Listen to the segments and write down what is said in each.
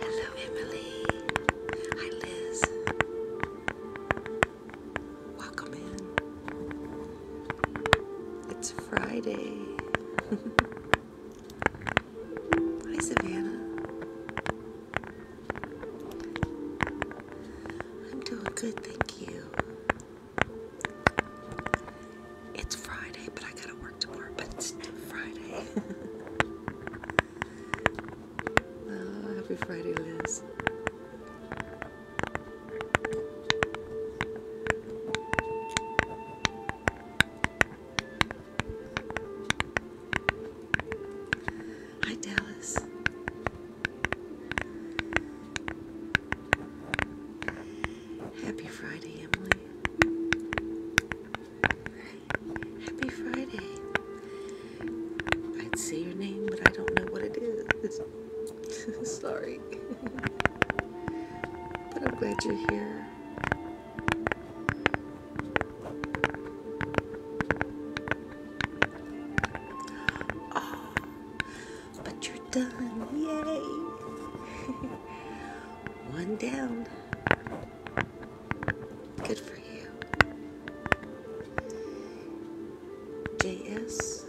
Hello, Emily. Hi, Liz. Welcome in. It's Friday. Hi, Savannah. I'm doing good, thank you. It's Friday, but I gotta work tomorrow, but it's still Friday. Uh, happy Friday, Liz. Hi, Dallas. Happy Friday, Emily. Happy Friday. I'd say your name, but I don't know what it is. Sorry. but I'm glad you're here. Oh, but you're done. Yay! One down. Good for you. JS.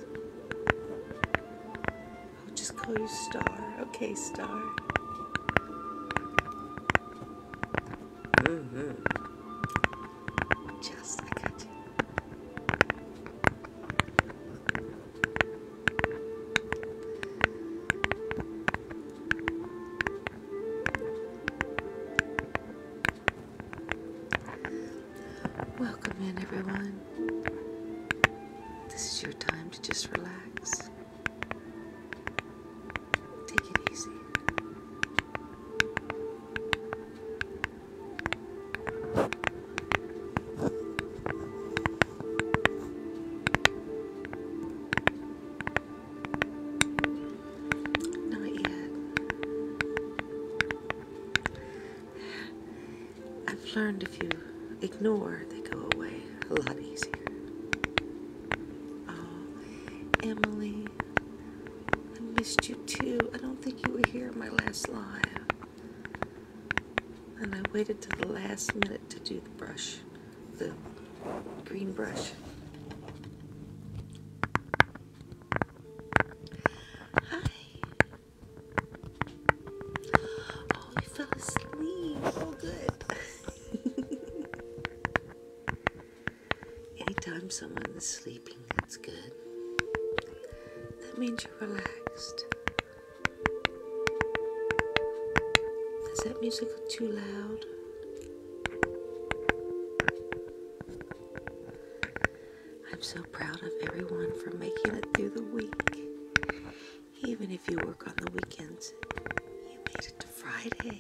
I'll just call you Star. Okay, Star. Mm -hmm. Just, I got Welcome in, everyone. This is your time to just relax. Take it easy. Not yet. I've learned if you ignore, they go away a lot easier. Oh, Emily, I missed you too. I don't think you were here in my last live. And I waited till the last minute to do the brush, the green brush. Hi. Oh, you fell asleep. Oh, good. Anytime someone sleeping, that's good. That means you're relaxed. Is that music too loud? I'm so proud of everyone for making it through the week. Even if you work on the weekends, you made it to Friday.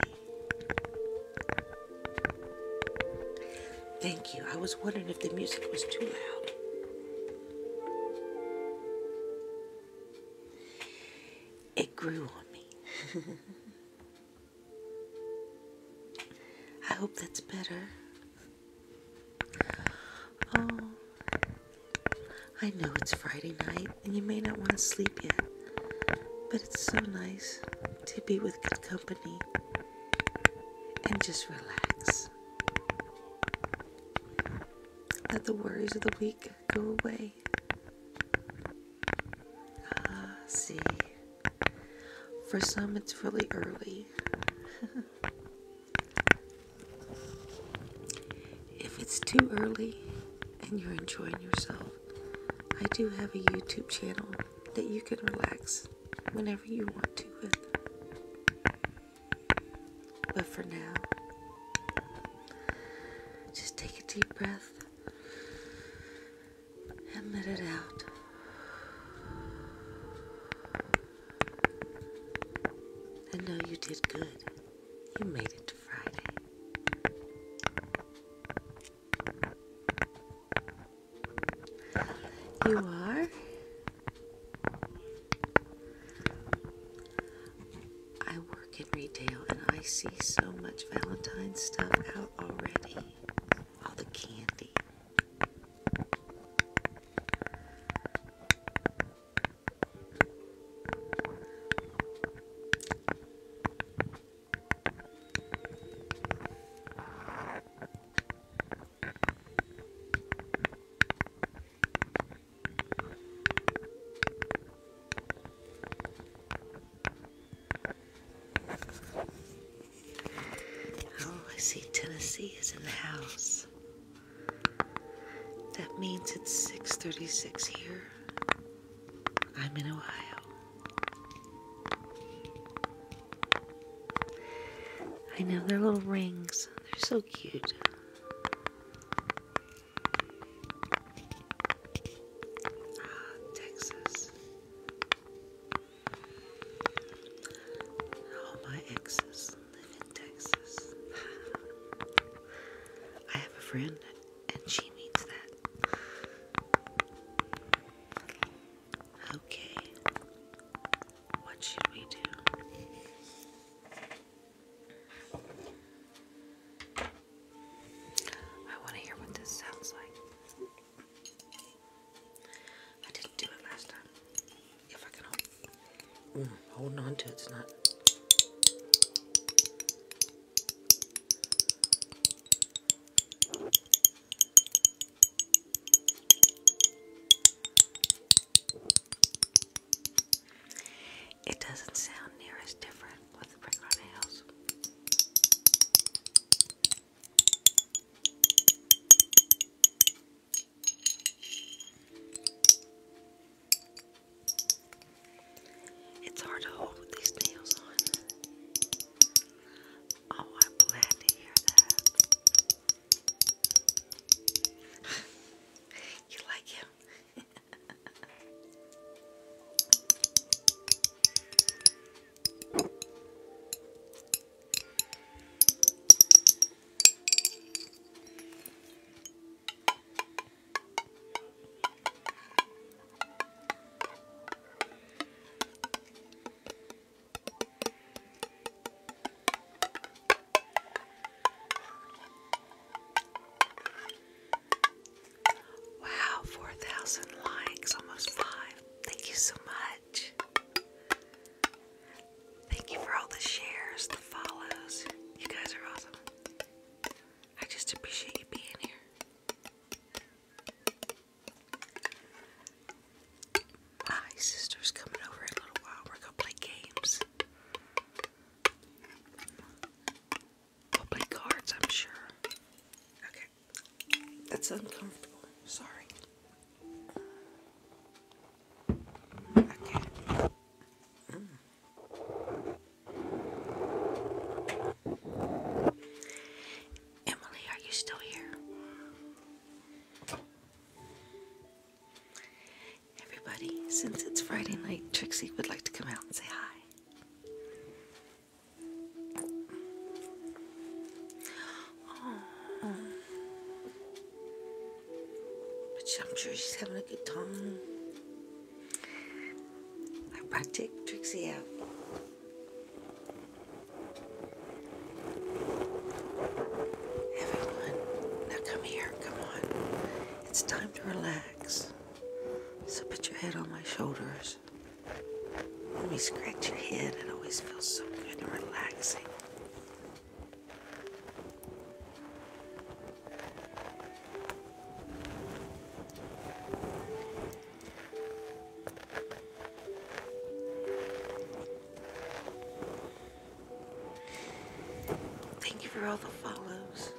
Thank you. I was wondering if the music was too loud. It grew on me. I hope that's better. Oh, I know it's Friday night and you may not want to sleep yet, but it's so nice to be with good company and just relax. Let the worries of the week go away. Ah, see. For some, it's really early. if it's too early and you're enjoying yourself, I do have a YouTube channel that you can relax whenever you want to with. But for now, just take a deep breath and let it out. I know you did good. You made it to Friday. You are. I work in retail and I see so much Valentine stuff out already. All the candy. Oh, I see Tennessee is in the house. That means it's 6:36 here. I'm in Ohio. I know, they're little rings. They're so cute. Ah, Texas. All my exes live in Texas. I have a friend, and she needs that. Okay. What should we do? I want to hear what this sounds like. I didn't do it last time. If I can hold, mm, holding on to it, it's not. It doesn't sound near as different with the regular It's hard to hold with these nails on. Oh, I'm to hear that. you like him? Wow, 4,000 likes, almost five. Thank you so much. Thank you for all the shares, the follows. You guys are awesome. I just appreciate you being here. My ah, sister's coming over in a little while. We're gonna play games. We'll play cards, I'm sure. Okay. That's uncomfortable. Sorry. Okay. Emily, are you still here? Everybody, since it's Friday night, Trixie would like to come out and say hi. But I'm sure she's having a good time. I brought Trixie out. Everyone, now come here, come on. It's time to relax. So put your head on my shoulders. Let me scratch your head. It always feels so good and relaxing. Thank you for all the follows.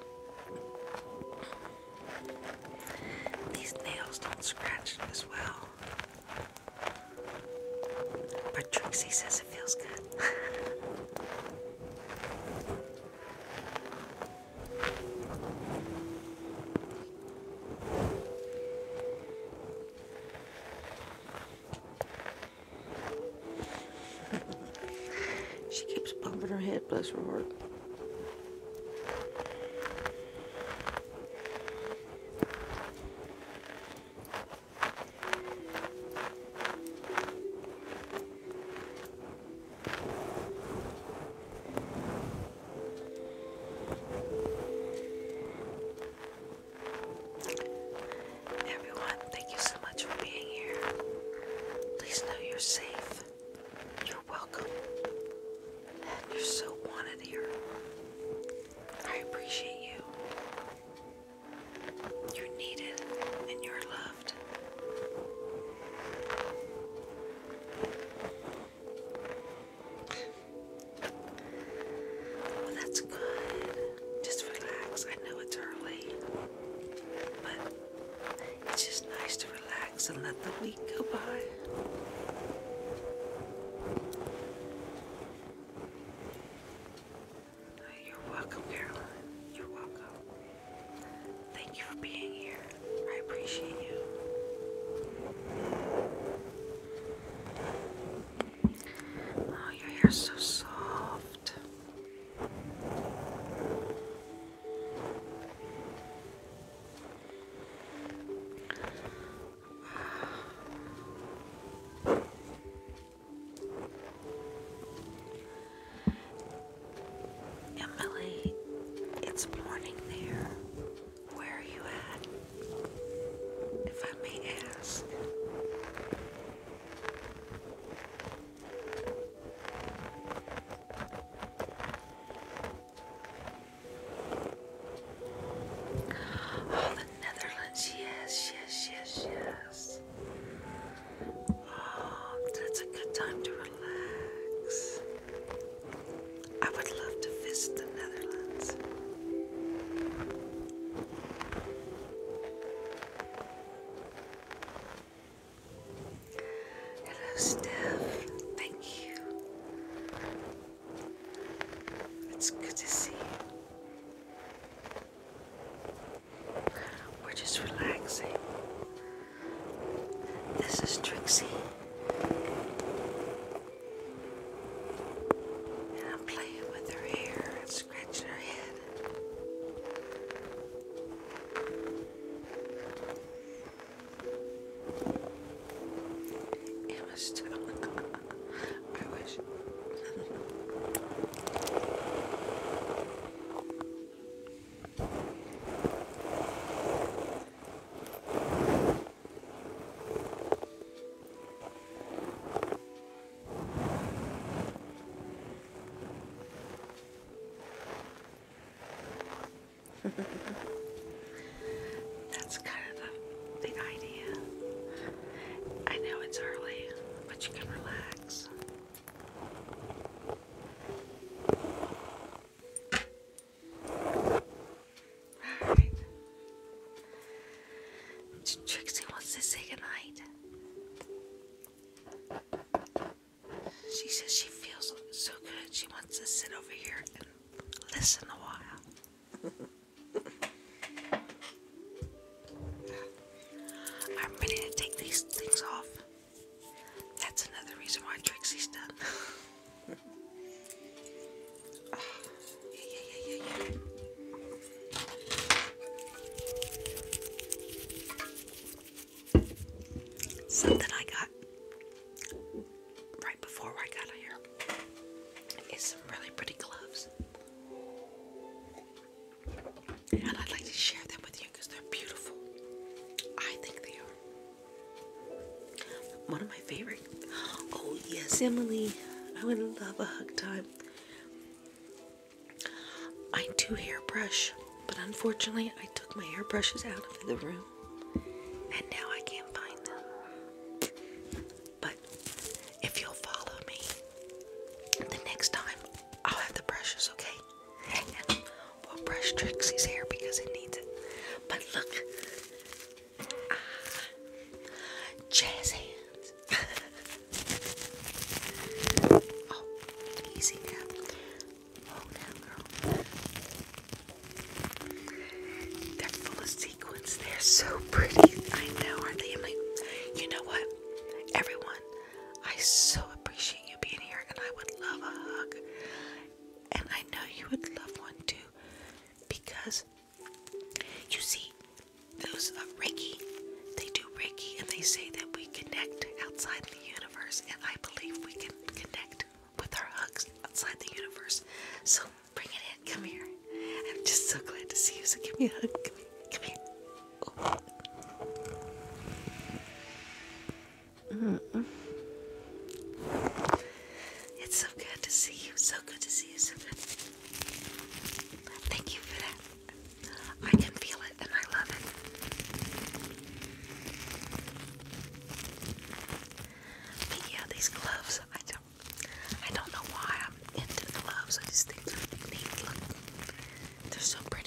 These nails don't scratch as well. But Trixie says it feels good she keeps bumping her head, bless her heart. Everyone, thank you so much for being here. Please know you're safe. You're welcome. you're so wanted here. I appreciate you. You're needed and you're loved that's good. Just relax. I know it's early, but it's just nice to relax and let the week go by. Oh, you're welcome, Caroline. You're welcome. Thank you for being here. I appreciate you. Oh, your hair's so soft. Emily, it's morning there. Where are you at? If I may ask. Oh, the Netherlands, yes, yes, yes, yes. Oh, that's a good time to relax. I would love to visit the Netherlands. Hello, Steph. Thank you. It's good to see you. We're just relaxing. This is Trixie. And playing with her hair and scratching her head. Emma still. I wish. That's kind of the, the idea. I know it's early, but you can relax. Alright. Trixie wants to say goodnight. She says she feels so good. She wants to sit over here and listen a while. I'm ready to take these things off. That's another reason why Trixie's done. Something I got right before I got here is some really pretty gloves. And I'd like to share them with you because they're beautiful. I think they are. One of my favorite. Oh, yes, Emily. I would love a hug time. I do hairbrush, but unfortunately, I took my hairbrushes out of the room and now I can't find them. But if you'll follow me, the next time I'll have the brushes, okay? And we'll brush Trixie's hair because it needs it. But look, jazz hands. oh, easy now. Oh, now, girl. They're full of sequins. They're so pretty. I know, are you know what? Everyone, I so appreciate you being here, and I would love a hug. And I know you would love one too because you see, those uh, Reiki, they do Reiki and they say that we connect outside the universe, and I believe we can connect with our hugs outside the universe. So bring it in, come here. I'm just so glad to see you, so give me a hug. Come here. Come here. It's so good to see you. So good to see you. So good. Thank you for that. I can feel it and I love it. But yeah, these gloves, I don't I don't know why I'm into gloves. I just think they're neat. Look. They're so pretty.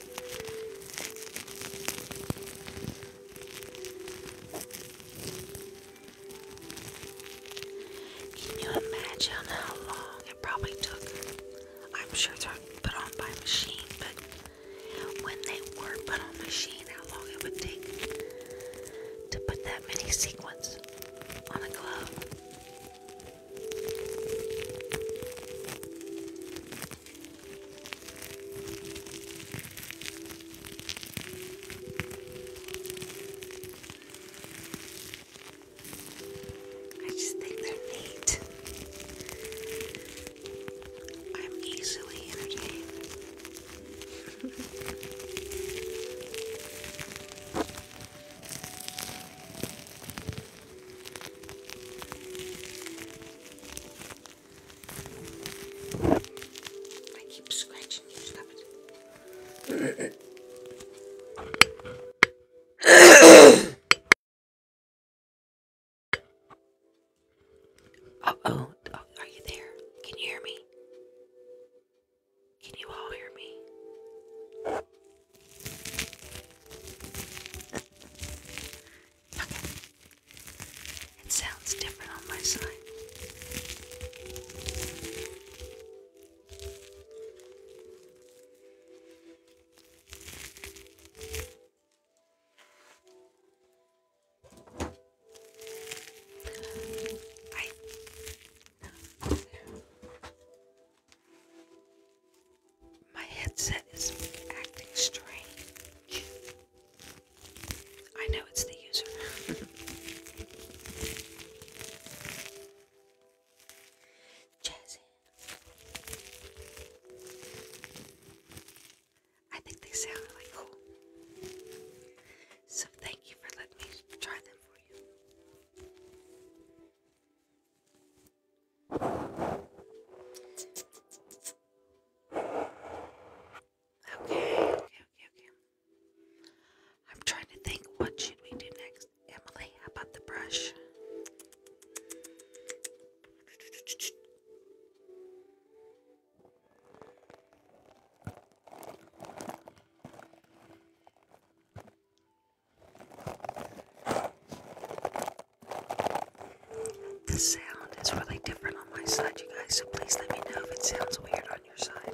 Can you imagine how long it probably took? I'm sure they're put on by machine, but when they were put on machine, how long it would take to put that many sequins on a glove. I just think they're neat. I'm easily entertained. I keep scratching stop it. uh oh, are you there? Can you hear me? Can you all hear me? Okay. It sounds different on my side. I my headset is acting strange. I know it's the user. Jazzy. I think they sound really cool. So thank you for letting me try them for you. Okay, okay, okay, okay. I'm trying to think what should we do next. Emily, how about the brush? The sound is really different on my side, you guys, so please let me know if it sounds weird on your side.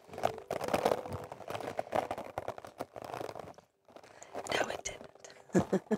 No, it didn't.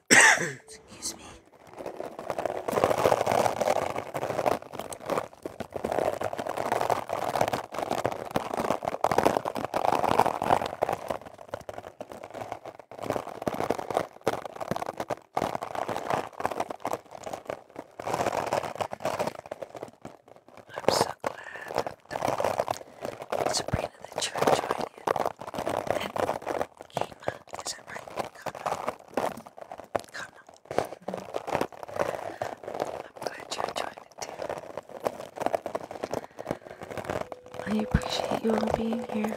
Excuse me. I'm so glad Sabrina the Church joined you. And is that right? Kama. Kama. I'm glad you enjoyed it I appreciate you all being here.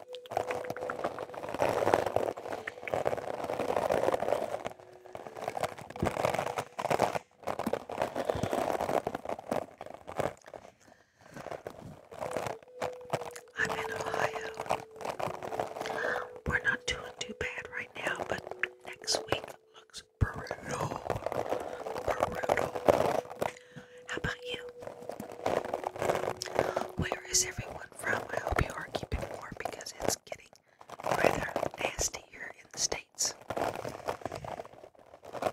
I'm in Ohio. We're not doing too bad right now, but next week looks brutal. Brutal. How about you? Where is everyone? from. I hope you are keeping warm because it's getting rather nasty here in the States. Oh,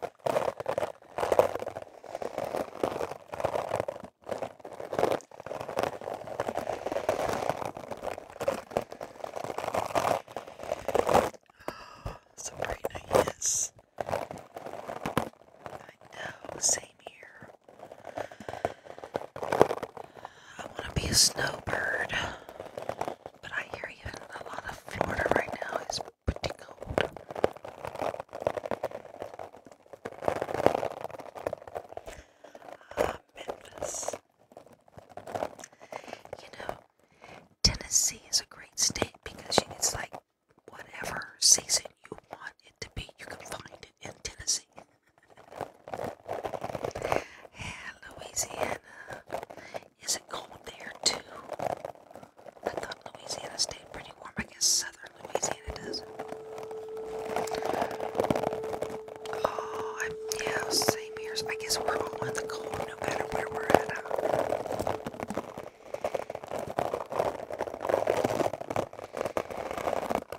Sabrina, yes. I know, see, I want to be a snowbird, but I hear even a lot of Florida right now is pretty cold. Ah, Memphis. You know, Tennessee is a great state because it's like whatever season you want it to be, you can find it in Tennessee and Louisiana. Is it cold there too? I thought Louisiana stayed pretty warm. I guess southern Louisiana does. Oh, yeah, same here. I guess we're all in the cold no matter where we're at. Thank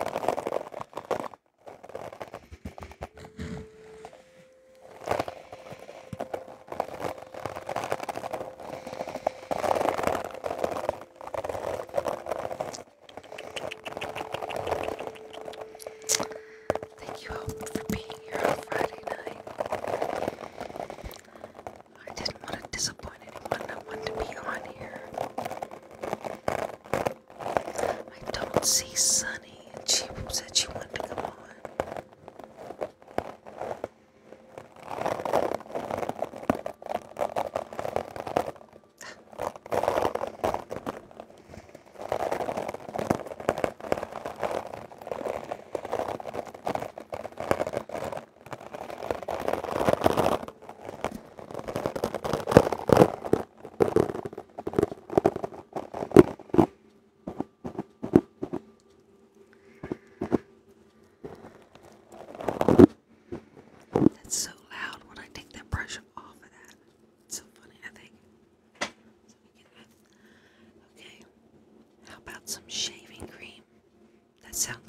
you all for being here on Friday night. I didn't want to disappoint anyone. I to be on here. I don't see Sunny, and she said she wanted to come on. That's so loud when I take that brush off of that. It's so funny, I think. Okay, how about some shaving cream? That sounds good.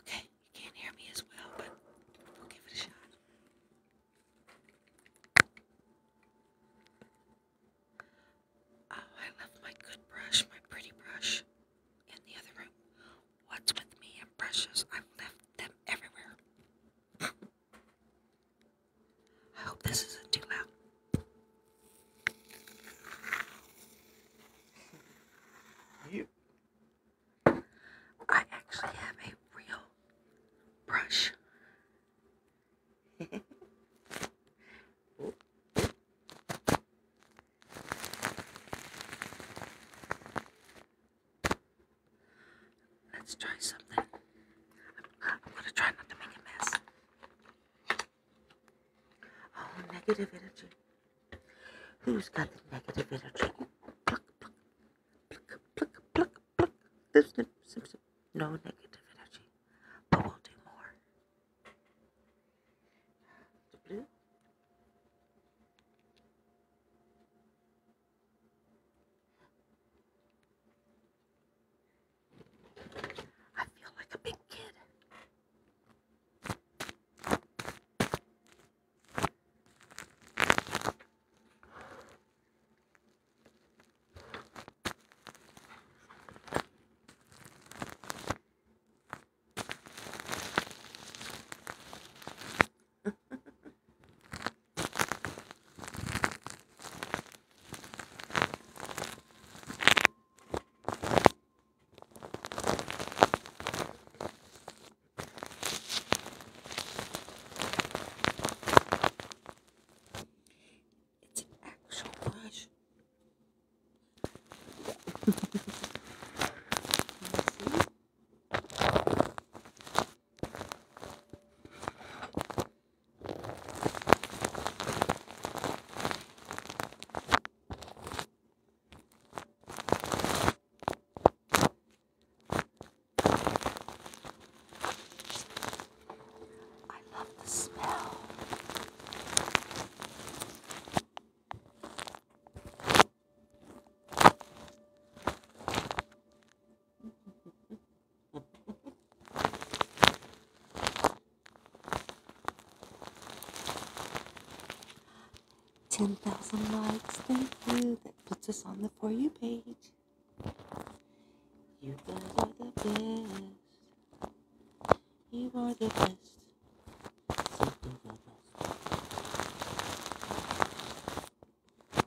Okay, you can't hear me as well, but we'll give it a shot. Oh, I left my good brush, my pretty brush, in the other room. What's with me and brushes? I've left them everywhere. I hope this isn't too loud. I actually have a real brush. Let's try something. I'm, gonna try not to make a mess. Oh, negative energy. Who's got the negative energy? Pluck, pluck, pluck, pluck, pluck, pluck. Snip, No negative energy. But we'll do more. I feel like a big kid. It's an actual brush. Can you see? I love the smell. 10,000 likes, thank you. That puts us on the For You page. You are the best. You are the best. Simply the best.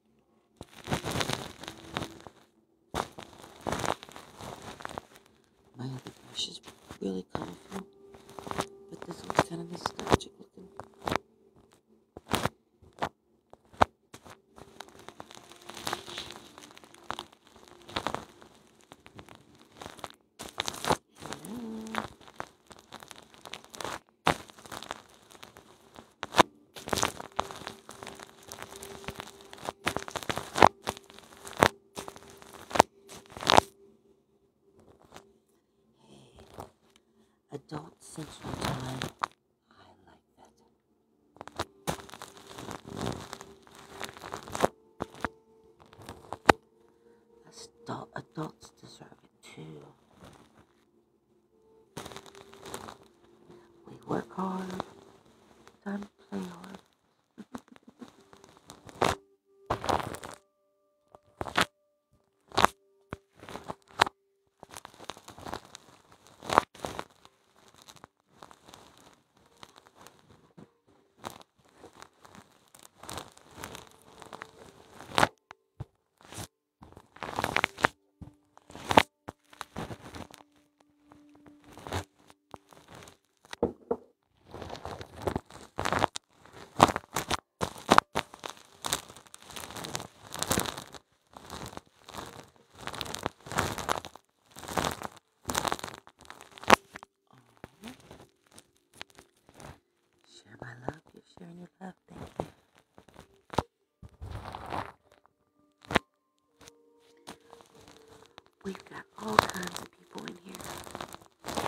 My other brush is really colorful, but this one's kind of nostalgic looking. Hey, adult central time. I like that. adults deserve it too. We work hard, time to play hard. Share my love. You're sharing your love. Thank you. We've got all kinds of people in here.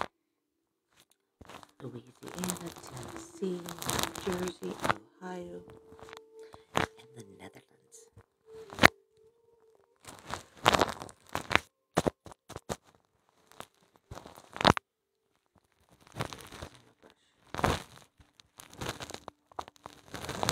Louisiana, Tennessee, Jersey, Ohio, and the Netherlands this one, right?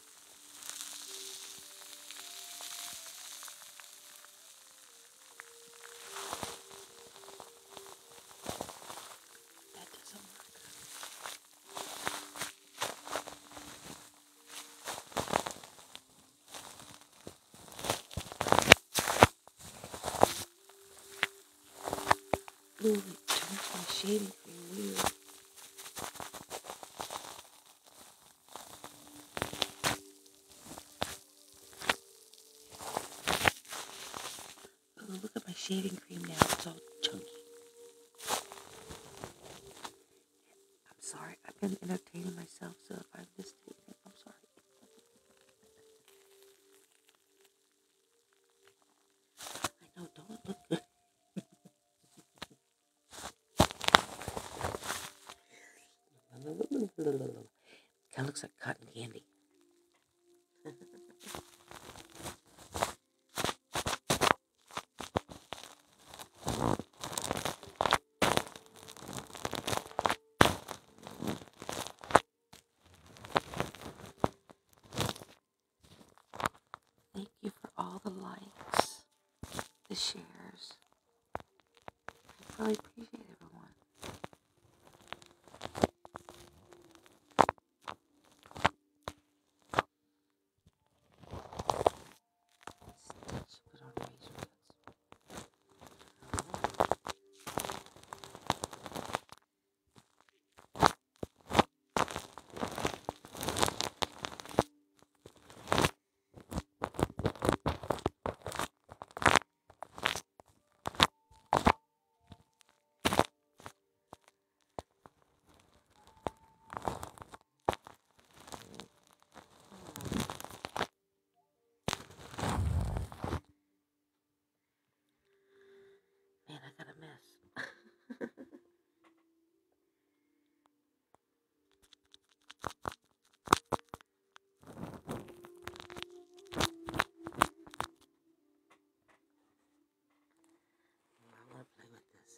That doesn't work. Ooh, it turns my shading thing weird. Oh, look at my shaving cream now. It's all chunky. I'm sorry. I've been entertaining myself, so if I missed anything, I'm sorry. I know, don't it look good? Kind of looks like cotton candy. Thank you for all the likes, the shares. I really appreciate everyone. Man, I got a mess. I want to play with this.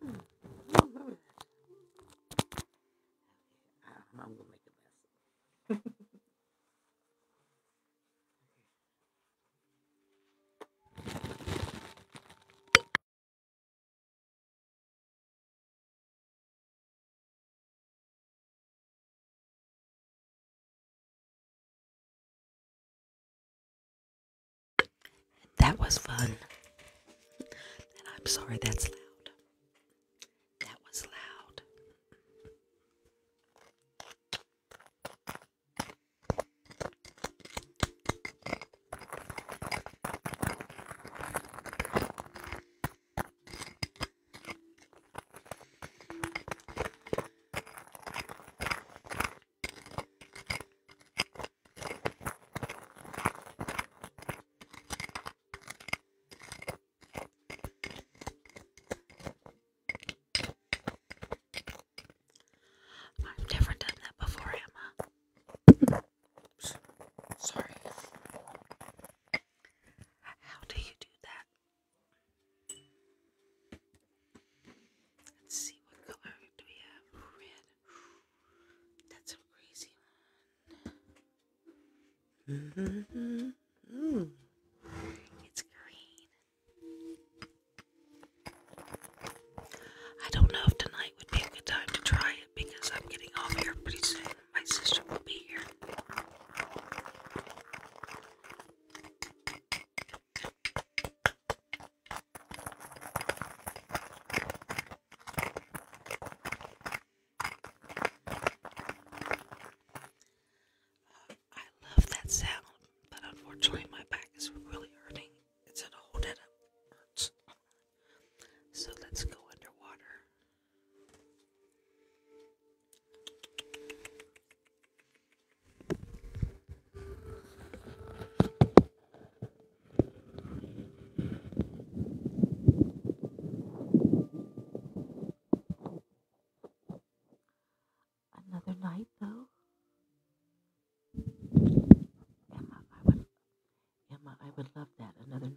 Hmm. I don't remember that. I am gonna make a mess. That was fun. And I'm sorry that's loud. That was loud. I've never done that before, Emma. Sorry. How do you do that? Let's see what color do we have? Red. That's a crazy one. It's green. I don't know if tonight would be a good time to try it because I'm getting off here pretty soon. My sister will be here. Uh, I love that sound, but unfortunately, my back is really hurting. It's in a hole that hurts. So let's go underwater. Another night, though. Emma, Emma, I would love that. Another night.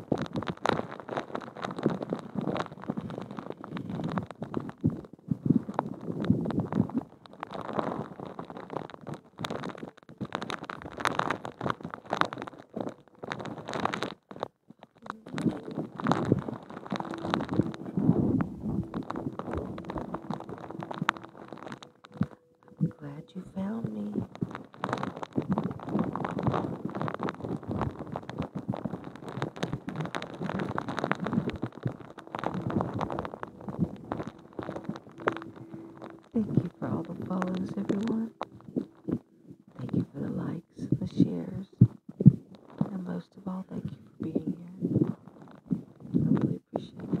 I'm glad you found me. Thank you for all the follows, everyone. Thank you for the likes, the shares, and most of all, thank you for being here. I really appreciate it.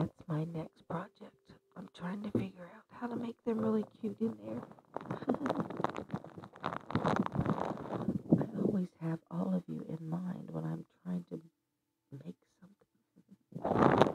That's my next project. I'm trying to figure out how to make them really cute in there. I always have all of you in mind when I'm trying to make something.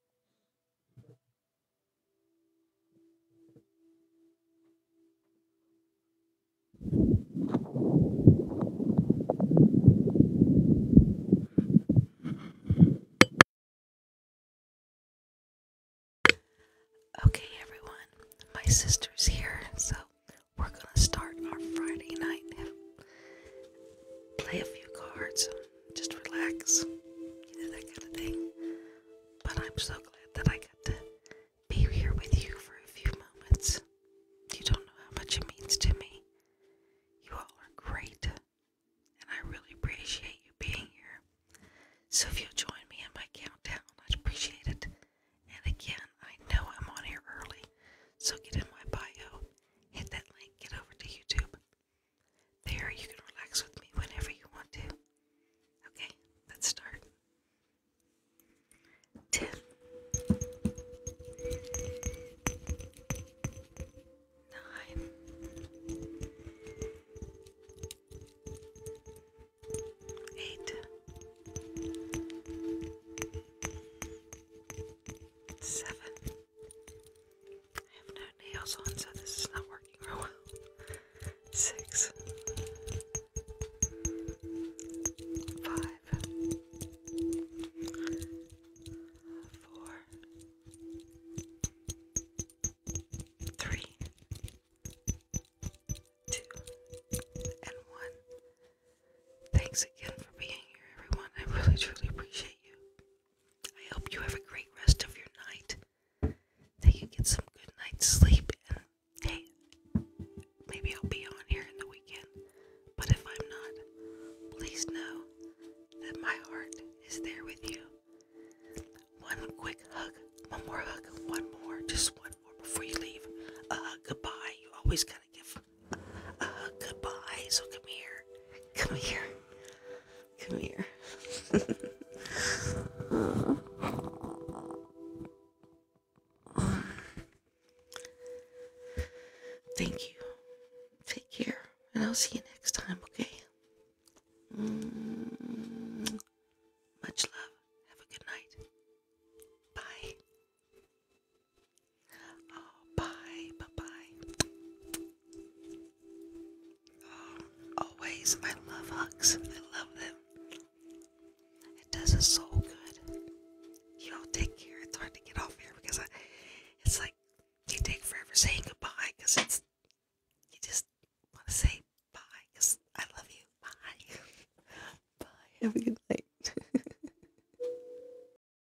Okay, everyone, my sister's here, so we're gonna start our Friday night. Play a few cards just relax, you know, that kind of thing. But I'm so glad that I got to be here with you for a few moments. You don't know how much it means to me. You all are great, and I really appreciate you being here. So if you'll join me in my countdown, I'd appreciate it. And again, I know I'm on here early, so get in my bio, hit that link, get over to YouTube, there, you can relax with me whenever you want to. Okay, let's start. 10 I have no nails on, so this is not working real well. Six, five, four, three, two, and one. Thanks again for being here, everyone. I really, truly appreciate you. I hope you have a great rest of your night. That you get some good night's sleep. And hey, maybe I'll be on here in the weekend. But if I'm not, please know that my heart is there with you. One quick hug, one more hug, one more, just one more before you leave. A uh, goodbye. You always goodbye. So come here, come here, come here. Thank you. Take care, and I'll see you next time. Okay. Mm, much love. Have a good night. Bye. Oh, bye, bye bye. Oh, always, I love hugs. I love them. It does us so good. Y'all take care. It's hard to get off here because I, it's like you take forever saying goodbye because it's you just want to say bye because I love you. Bye. bye. Have a good night.